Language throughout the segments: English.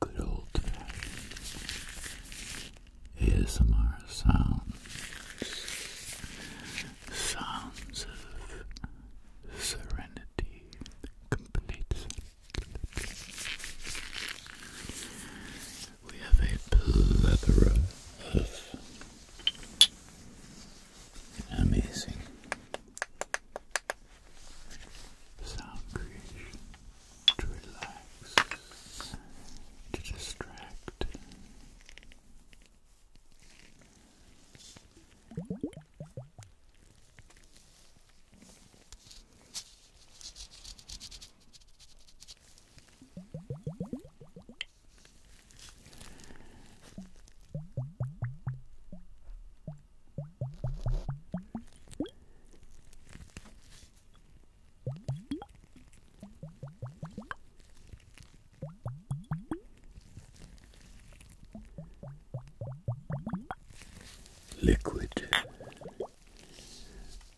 Good old ASMR sounds, sounds of serenity, complete. We have a plethora of amazing sound creation to relax, to distract good. Liquid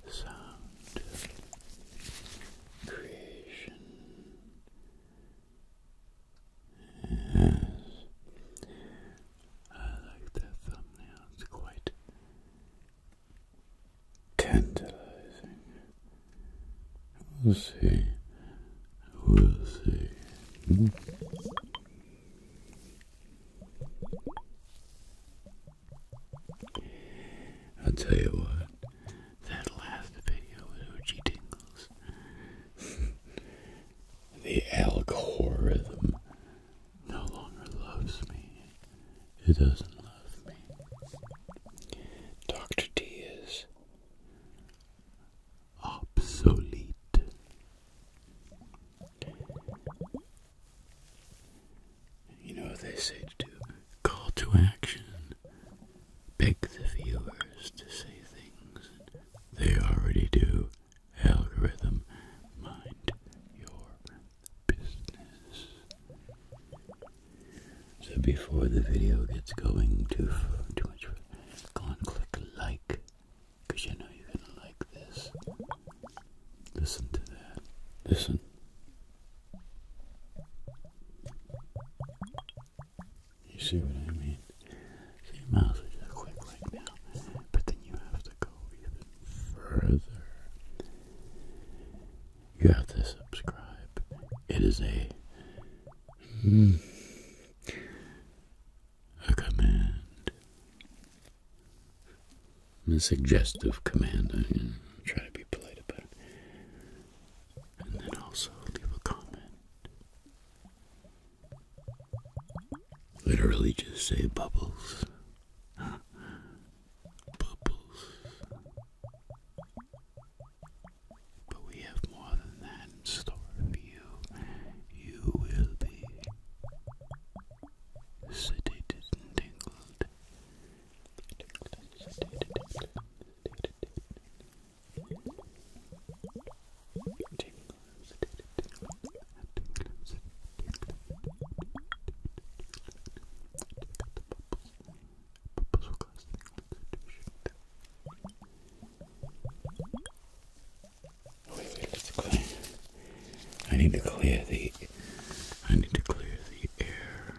sound creation Yes. I like that thumbnail, it's quite tantalizing. We'll see. We'll see. I'll tell you what, that last video with Uchi Tingles. the algorithm no longer loves me. It doesn't love me. Dr. D is obsolete. You know what they say to Call to action beg the viewers to say things they already do. Algorithm, mind your business. So before the video gets going too too much, go and click like, you know you're gonna like this. Listen to that. Listen. You see what I mean? So your mouth is just quick right now, but then you have to go even further. You have to subscribe. It is a hmm, a command, a suggestive command. i try to be polite about it and then also leave a comment. Literally just say bubbles. bubbles. But we have more than that in store for you. You will be sedated and tingled. I need to clear the I need to clear the air.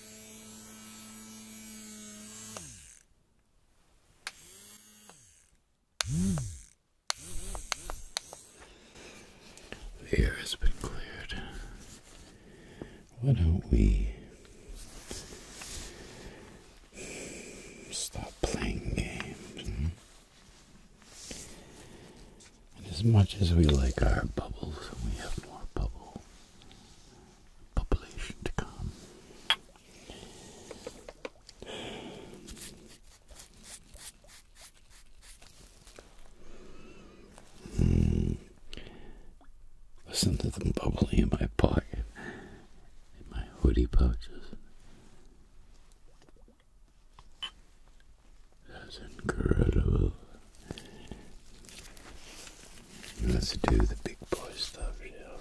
The air has been cleared. Why don't we stop playing games? as much as we like our bubbles, we have more bubble population to come. Mm. Listen to them bubbling in my pocket, in my hoodie pouches. That's incredible. Let's do the big boy stuff, shall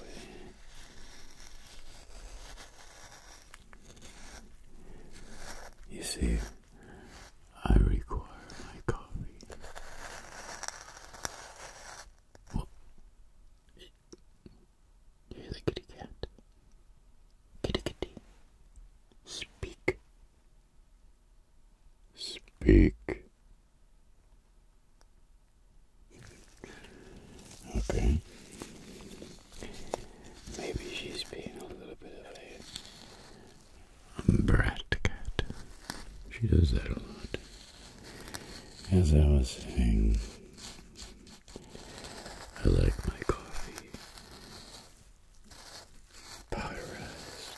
we? You see, I require my coffee. Well, you're kitty cat. Kitty kitty. Speak. Speak. Okay. Maybe she's being a little bit of brat cat. She does that a lot. As I was saying, I like my coffee pulverized.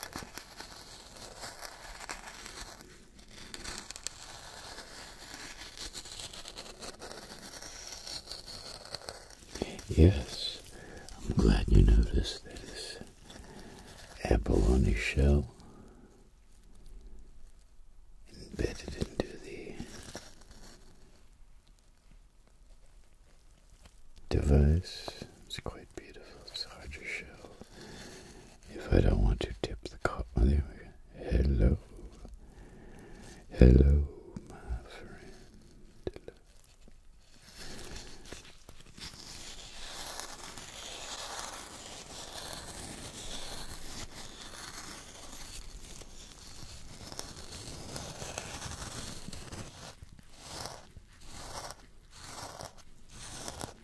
Yes, I'm glad you noticed this apple on his shell embedded into the device. It's quite beautiful. It's hard to show. If I don't want to tip the cup, oh, Hello. Hello, my friend.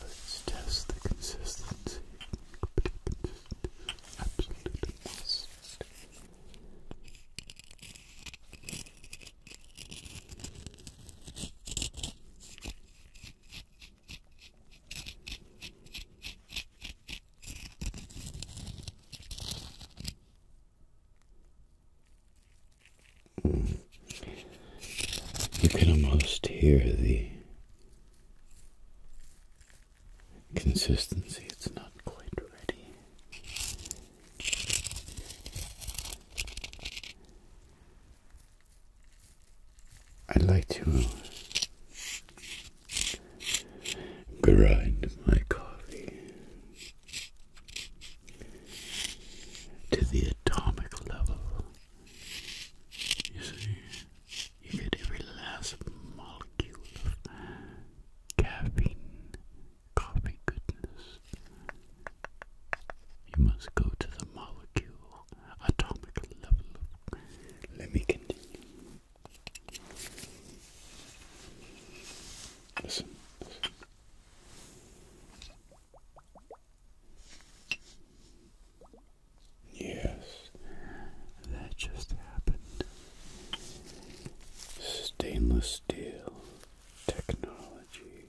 Let's test the consistency. Absolutely must. You can almost hear the consistency, it's not quite ready. I'd like to grind my coffee to the atomic level. You see, you get every last molecule of caffeine, coffee goodness. You must go to the molecule, atomic level. Let me continue. Yes, that just happened. Stainless steel technology.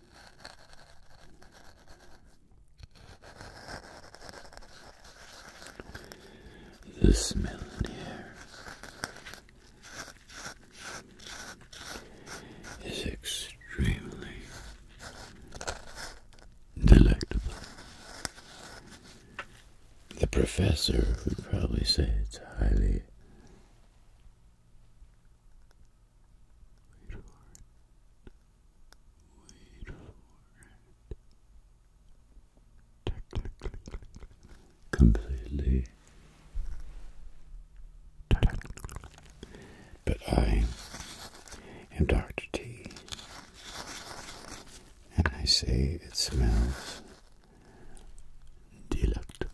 The smell here is extremely delectable. The professor would probably say it's highly Wait for it. Wait for it. Technically completely But I am Dr. T and I say it smells delectable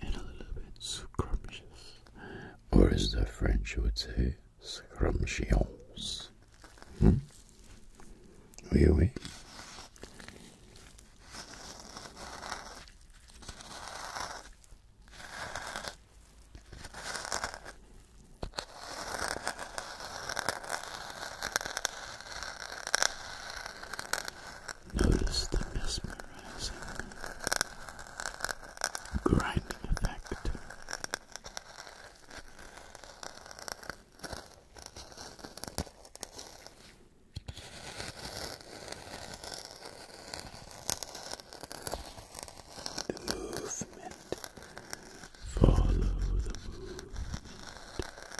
and a little bit scrumptious, or as the French would say, scrumptious. Hmm? Oui, oui. Notice the mesmerizing grinding effect. The movement. Follow the movement.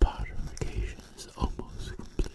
Purification is almost complete.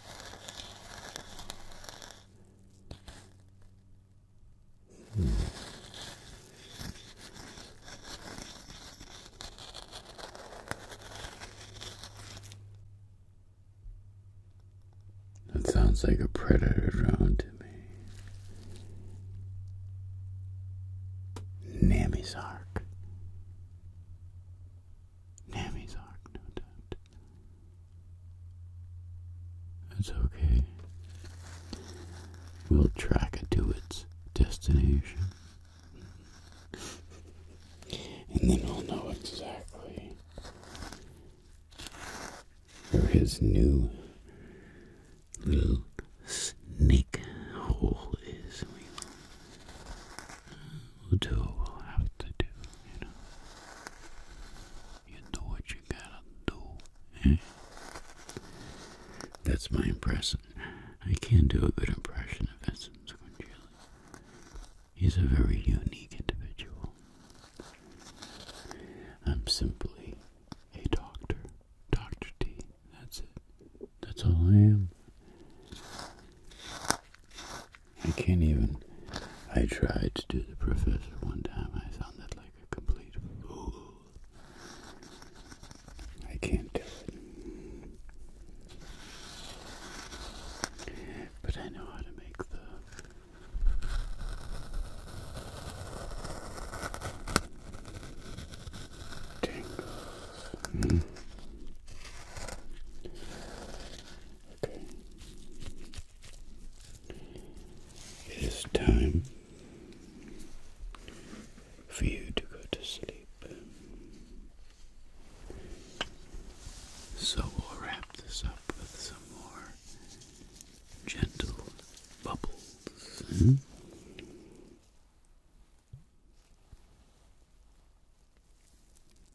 That sounds like a predator drone to me. Namisark. Nami's Ark, no doubt. It's okay. We'll track it to its destination. and then we'll know exactly where his new little snake hole is do have to do, you know. You do what you gotta do, eh? That's my impression. I can do a good impression of Vincent Squinchilli. He's a very unique individual. I'm simply a doctor. Dr. T. That's it. That's all I am. I can't even. I tried to do the professor one time. I sounded like a complete fool. I can't do it. But I know how to make the. Tingles. Hmm? It is time for you to go to sleep. So we'll wrap this up with some more gentle bubbles. Hmm?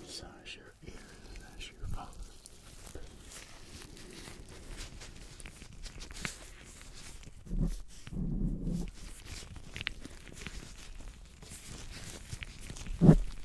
Massage your ears as you fall asleep.